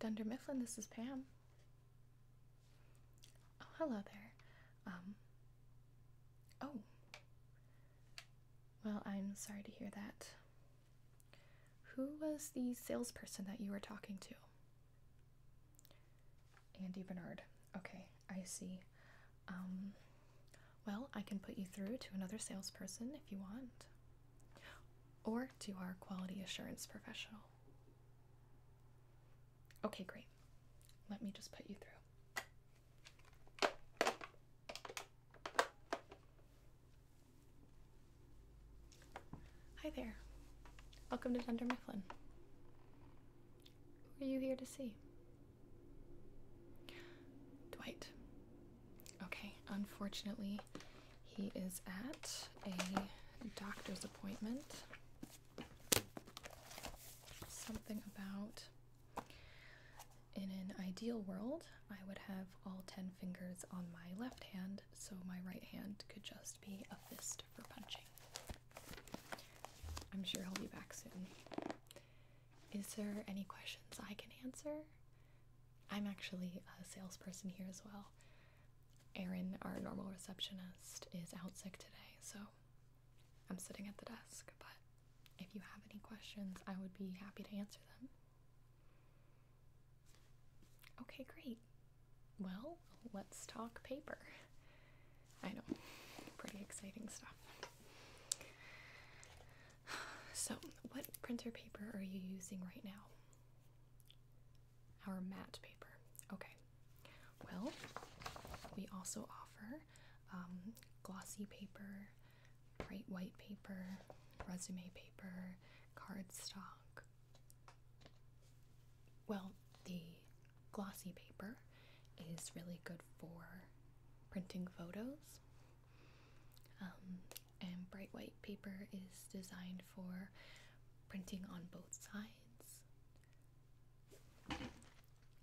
Dunder Mifflin, this is Pam. Oh, hello there. Um, oh. Well, I'm sorry to hear that. Who was the salesperson that you were talking to? Andy Bernard. Okay, I see. Um, well, I can put you through to another salesperson if you want, or to our quality assurance professional. Okay, great. Let me just put you through. Hi there. Welcome to Dunder Mifflin. Who are you here to see? Dwight. Okay, unfortunately, he is at a doctor's appointment. Something about in an ideal world, I would have all 10 fingers on my left hand, so my right hand could just be a fist for punching. I'm sure he'll be back soon. Is there any questions I can answer? I'm actually a salesperson here as well. Erin, our normal receptionist, is out sick today, so I'm sitting at the desk. But if you have any questions, I would be happy to answer them. Okay, great. Well, let's talk paper. I know, pretty exciting stuff. So, what printer paper are you using right now? Our matte paper. Okay. Well, we also offer um, glossy paper, bright white paper, resume paper, cardstock. Well, the glossy paper is really good for printing photos um, and bright white paper is designed for printing on both sides.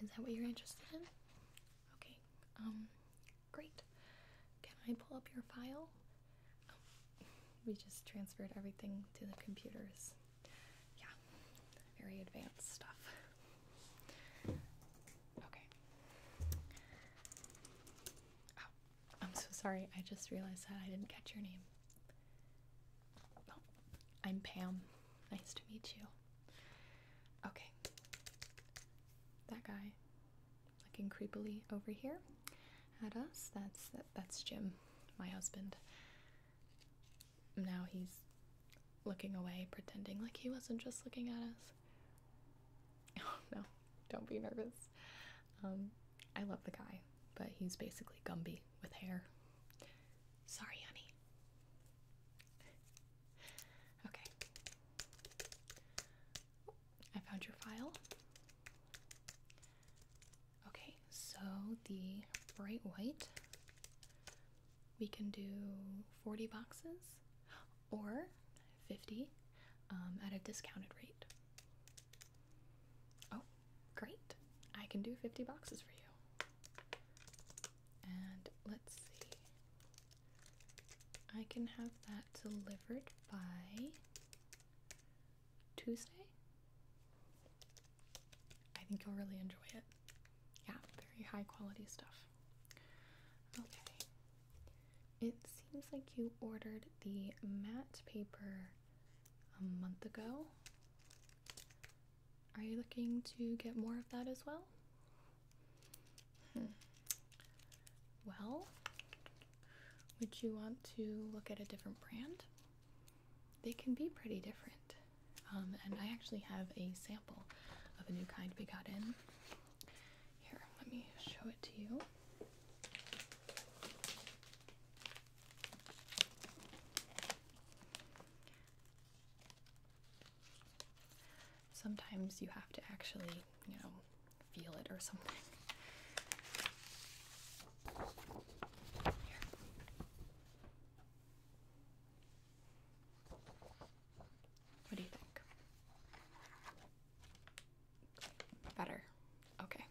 Is that what you're interested in? Okay, um, great. Can I pull up your file? Um, we just transferred everything to the computers. Yeah, very advanced stuff. Okay. Oh, I'm so sorry. I just realized that I didn't catch your name. Oh, I'm Pam. Nice to meet you. Okay. That guy looking creepily over here at us. That's that, that's Jim, my husband now he's looking away, pretending like he wasn't just looking at us. Oh, no, don't be nervous. Um, I love the guy, but he's basically Gumby with hair. Sorry, honey. Okay. I found your file. Okay, so the bright white we can do 40 boxes or 50 um, at a discounted rate. Oh, great. I can do 50 boxes for you. And let's see. I can have that delivered by Tuesday. I think you'll really enjoy it yeah, very high quality stuff. Okay. It seems like you ordered the matte paper a month ago. Are you looking to get more of that as well? Hmm. Well, would you want to look at a different brand? They can be pretty different. Um, and I actually have a sample of a new kind we got in. Here, let me show it to you. Sometimes you have to actually, you know, feel it or something. What do you think? Better. Okay.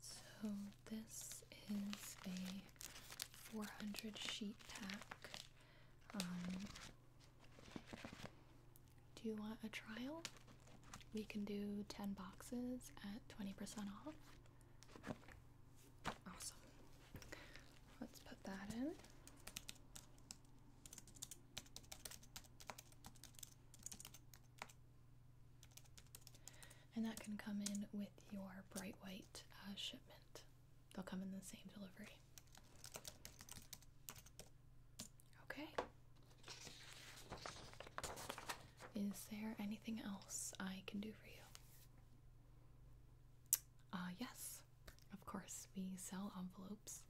So this is a 400 sheet pack. Um, do you want a trial? We can do 10 boxes at 20% off. Awesome. Let's put that in. And that can come in with your bright white uh, shipment. They'll come in the same delivery. Okay. Is there anything else I can do for you? Uh, yes, of course. We sell envelopes.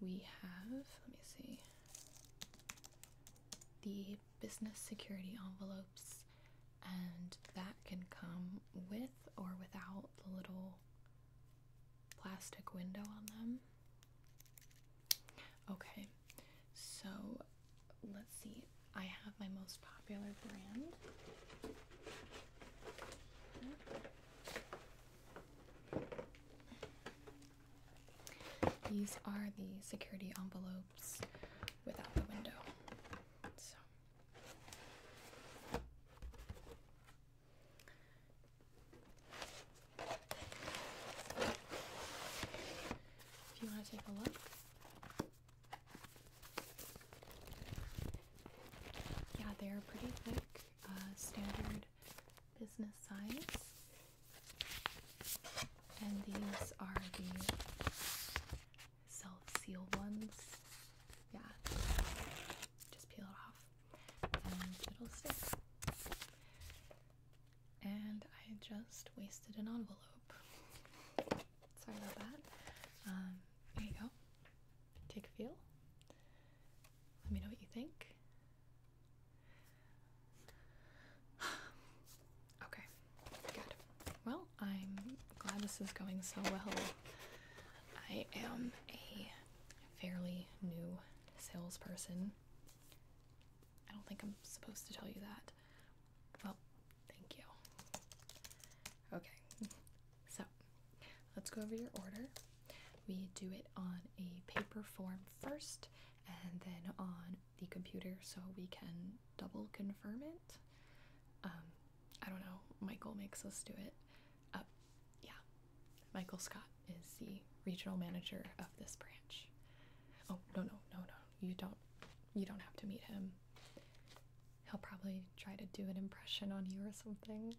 We have, let me see, the business security envelopes, and that can come with or without the little plastic window on them. Okay, so let's see. I have my most popular brand. These are the security envelopes without the window. So if you want to take a look, yeah, they're pretty thick, uh, standard business size. And these are the self seal ones. Yeah, just peel it off and it'll stick and I just wasted an envelope. Sorry about that. Um, there you go. Take a feel. Let me know what you think. okay, good. Well, I'm glad this is going so well. I am a fairly new salesperson I don't think I'm supposed to tell you that. Well, thank you. Okay, so let's go over your order. We do it on a paper form first and then on the computer so we can double confirm it. Um, I don't know, Michael makes us do it. Uh, yeah, Michael Scott is the regional manager of this branch. Oh no no no no! You don't you don't have to meet him. He'll probably try to do an impression on you or something.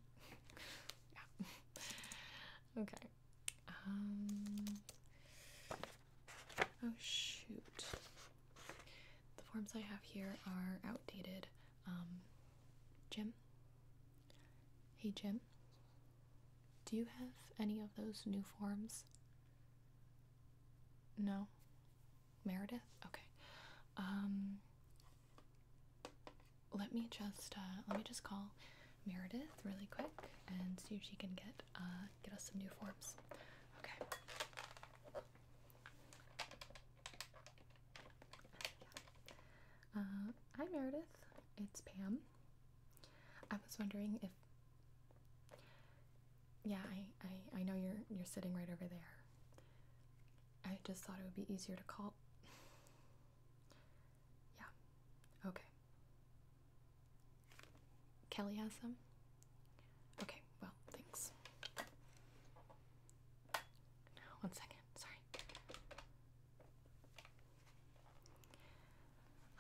yeah. Okay. Um. Oh shoot. The forms I have here are outdated. Um. Jim. Hey Jim. Do you have any of those new forms? No? Meredith? Okay. Um, let me just uh, let me just call Meredith really quick and see if she can get uh, get us some new forms. Okay. Uh, hi Meredith, it's Pam. I was wondering if yeah, I, I I know you're you're sitting right over there. I just thought it would be easier to call. Yeah. Okay. Kelly has them? Okay, well, thanks. one second. Sorry.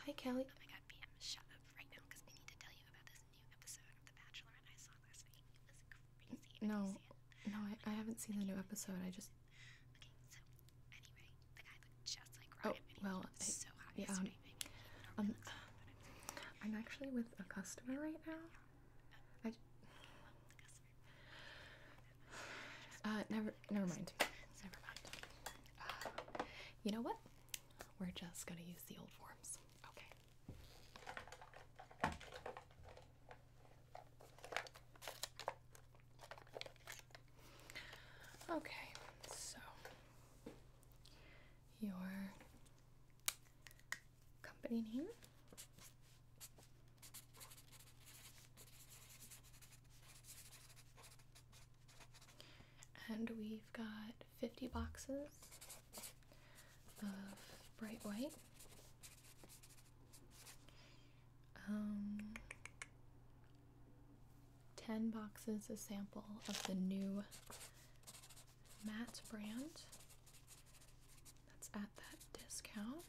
Hi, Kelly. Oh my god, BM, shut up right now because we need to tell you about this new episode of The Bachelorette I saw last night. No, no, I, I haven't seen the new episode. I just. Okay, Oh, well, I, um, um, I'm actually with a customer right now. I, uh, never, never mind. Never mind. Uh, you know what? We're just gonna use the old forms. Okay. Okay, so your company name and we've got 50 boxes of bright white. Um, 10 boxes, a sample of the new Matt brand. That's at that discount.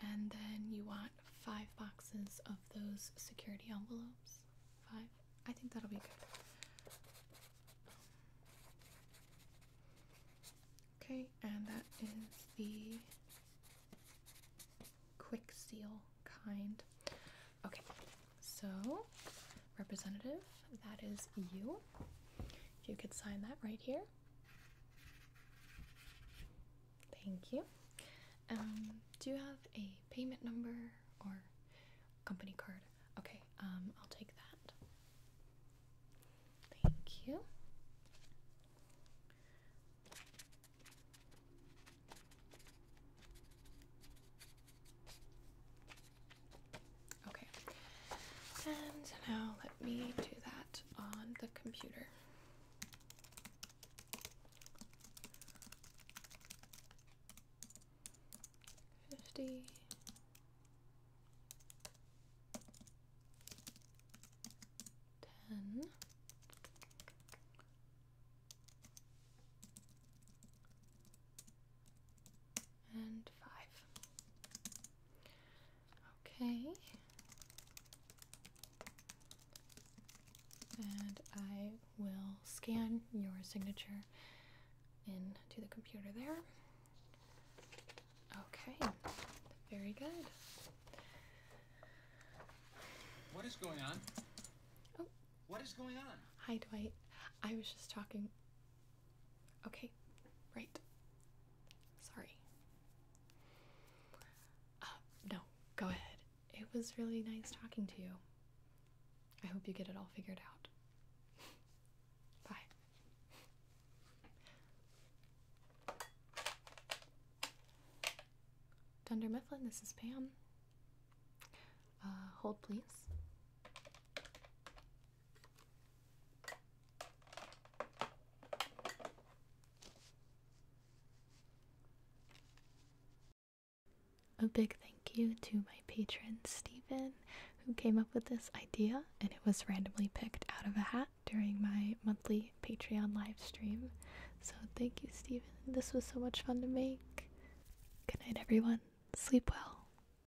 And then you want five boxes of those security envelopes. Five? I think that'll be good. Okay, and that is the quick seal kind. Okay, so representative, that is you. you could sign that right here. Thank you. Um, do you have a payment number or company card? Okay, um, I'll take that. Thank you. Okay, and now let me do that on the computer. Fifty. And five. Okay. And I will scan your signature into the computer there. Okay, very good. What is going on? Oh. What is going on? Hi, Dwight. I was just talking Okay, right. Sorry. Uh, no, go ahead. It was really nice talking to you. I hope you get it all figured out. Bye. Dunder Mifflin, this is Pam. Uh, hold, please. A big thank you to my patron Stephen, who came up with this idea, and it was randomly picked out of a hat during my monthly Patreon live stream. So thank you, Stephen. This was so much fun to make. Good night, everyone. Sleep well.